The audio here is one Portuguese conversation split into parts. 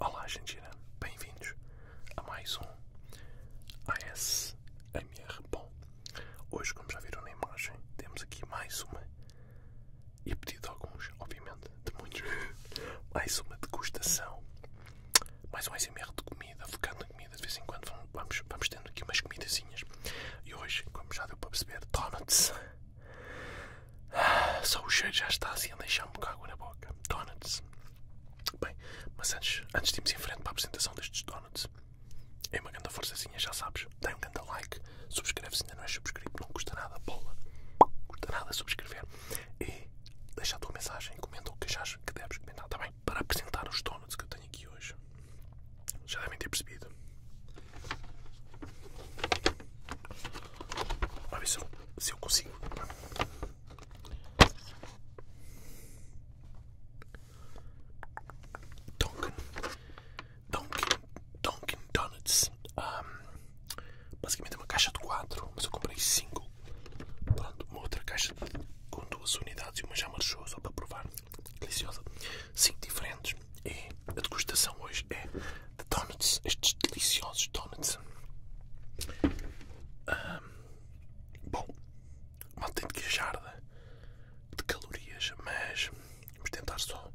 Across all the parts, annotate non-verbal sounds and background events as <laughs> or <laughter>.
Olá, Argentina, bem-vindos a mais um ASMR. Bom, hoje, como já viram na imagem, temos aqui mais uma, e a pedido de alguns, obviamente, de muitos, <laughs> mais uma degustação, mais um ASMR de comida, focado na comida. De vez em quando vamos, vamos tendo aqui umas comidazinhas, e hoje, como já deu para perceber, donuts. Ah, só o cheiro já está assim a deixar-me com água na boca. Donuts. Bem, mas antes, antes de irmos em frente para a apresentação destes donuts, é uma grande forçazinha, já sabes. Dá um grande like, subscreve se ainda não é subscrito, não custa nada, bola. Custa nada subscrever. E deixa a tua mensagem, comenta o que achas que deves comentar, tá bem? Para apresentar os donuts que eu tenho aqui hoje. Já devem ter percebido. Vamos ver se eu, consigo. Dunkin, Dunkin, Dunkin Donuts. basicamente é uma caixa de 4, mas eu comprei 5. Pronto, uma outra caixa com duas unidades e uma já marchou, só para provar. Deliciosa. 5 diferentes e a degustação hoje é de donuts, estes deliciosos donuts. bom, mal tem de queixar de calorias, mas vamos tentar só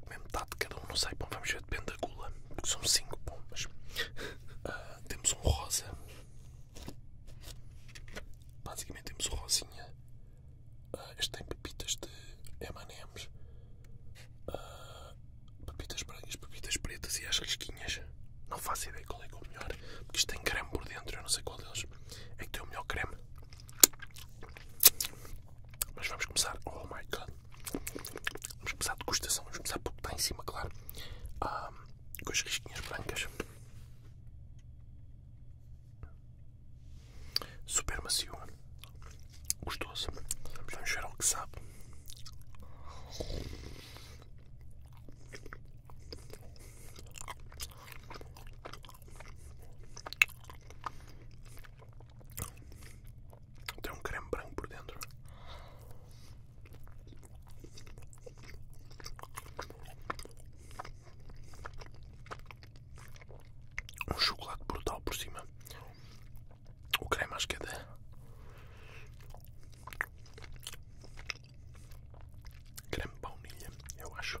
comer metade de cada um, não sei, bom, vamos ver, depende da gula, porque são 5 bombas. Ah, temos um rosa, basicamente temos um rosinha Uh, este tem pepitas de M&M's, ah, pepitas brancas, pepitas pretas e as risquinhas. Não faço ideia qual é que é o melhor, porque isto tem creme por dentro, eu não sei qual deles é que tem o melhor creme. Mas vamos começar, oh my god, vamos começar a degustação, vamos começar porque está em cima, claro, ah, com as risquinhas brancas super macio, gostoso. Vamos ver o que sabe. Tem um creme branco por dentro um chocolate brutal por cima. O creme acho que é creme de baunilha, eu acho.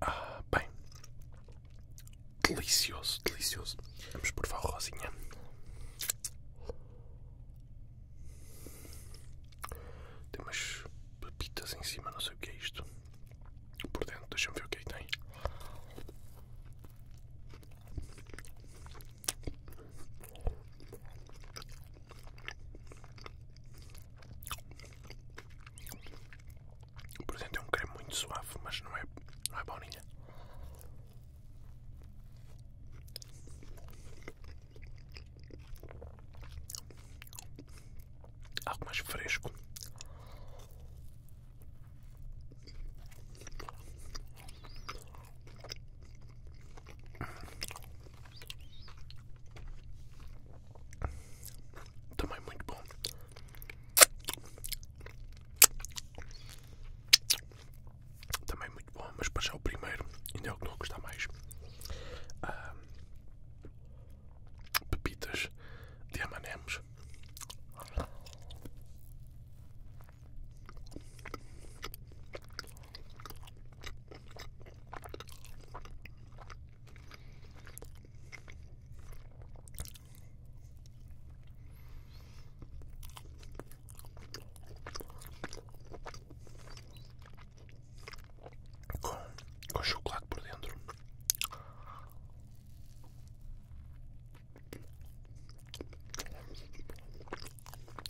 Ah, bem, delicioso, delicioso. Vamos provar o rosinha. Tem umas pepitas em cima, não sei o que é isto. Por dentro, deixa-me ver o que aí é tem. Por exemplo, é um creme muito suave, mas não é, não é boninha. Algo mais fresco. Também muito bom. Também muito bom, mas para já o primeiro ainda é o que não a mais. Ah, pepitas de M&M's com, com chocolate por dentro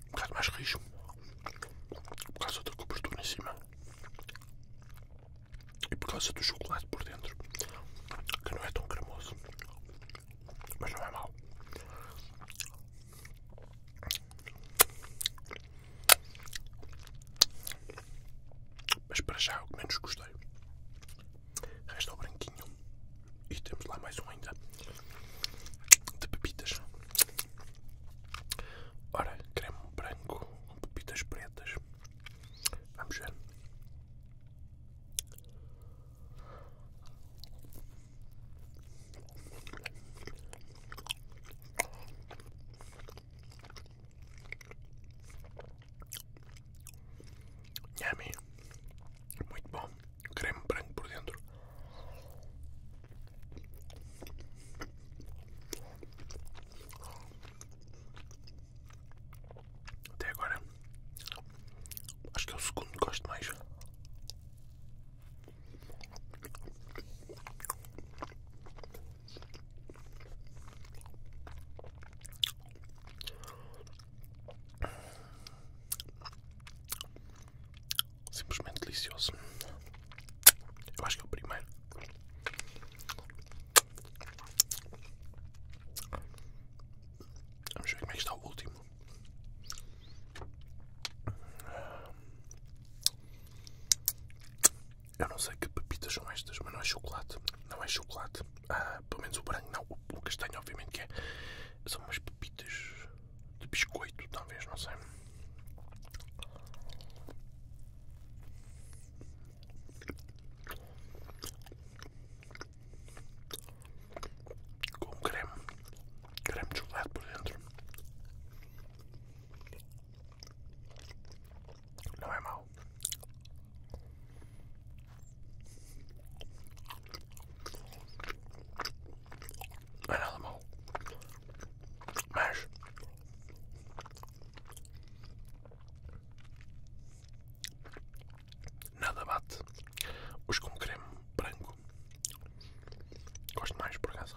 um bocado mais rijo por causa da cobertura em cima e por causa do chocolate por dentro que não é tão cremoso mas não é mal mas para já é o que menos gostei resta o branquinho e temos lá mais um ainda de pepitas. Ora, creme branco com pepitas pretas. Vamos ver. Yummy, muito bom creme branco por dentro. Até agora, acho que é o segundo que gosto mais. Simplesmente delicioso. Eu acho que é o primeiro. Vamos ver como é que está o último. Eu não sei que pepitas são estas, mas não é chocolate. Não é chocolate ah, pelo menos o branco, não, o, o castanho obviamente que é, são umas pepitas de biscoito, talvez, não sei. Com creme, creme de chocolate por dentro. Não é mau. Não é nada mal. Mas nada bate os com creme branco. Gosto mais por casa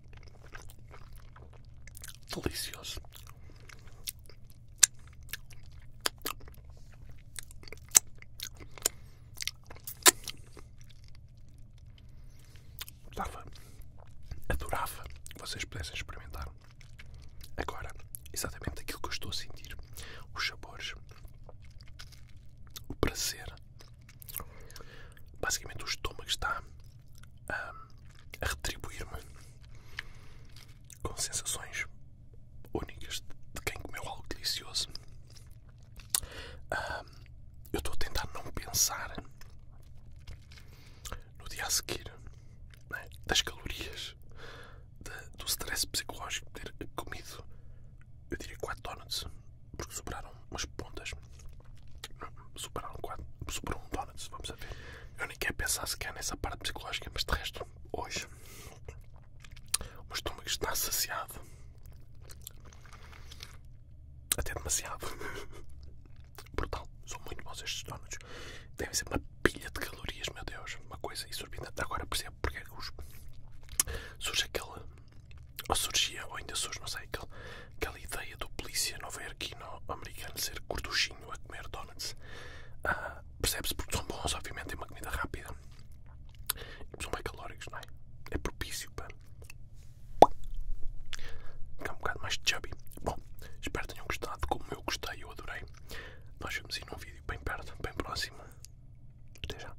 Delicioso. Dava, adorava que vocês pudessem experimentar. Agora, exatamente aquilo que eu estou a sentir: os sabores, o prazer Basicamente, o estômago está a, retribuir-me com sensações únicas de quem comeu algo delicioso. eu estou a tentar não pensar no dia a seguir é, das calorias, do stress psicológico de ter comido, eu diria, 4 donuts porque sobraram umas pontas. Superaram quatro, sobrou um donuts, vamos a ver. Eu nem quero pensar sequer nessa parte psicológica, mas de resto, hoje, o estômago está saciado. Até demasiado. Brutal, <laughs> são muito bons estes donuts. Devem ser uma pilha de calorias, meu Deus. Uma coisa exorbitante. Agora percebo porque é que os... surge aquele ou surgia, ou ainda surge, não sei, aquela, ideia do polícia aqui no americano ser gorduchinho a comer donuts. Ah, percebe-se porque são bons, obviamente, é uma comida rápida. E são bem calóricos, não é? É propício para. ficar um bocado mais chubby. Bom, espero que tenham gostado. Como eu gostei, eu adorei. Nós vamos ir num vídeo bem perto, bem próximo. Até já.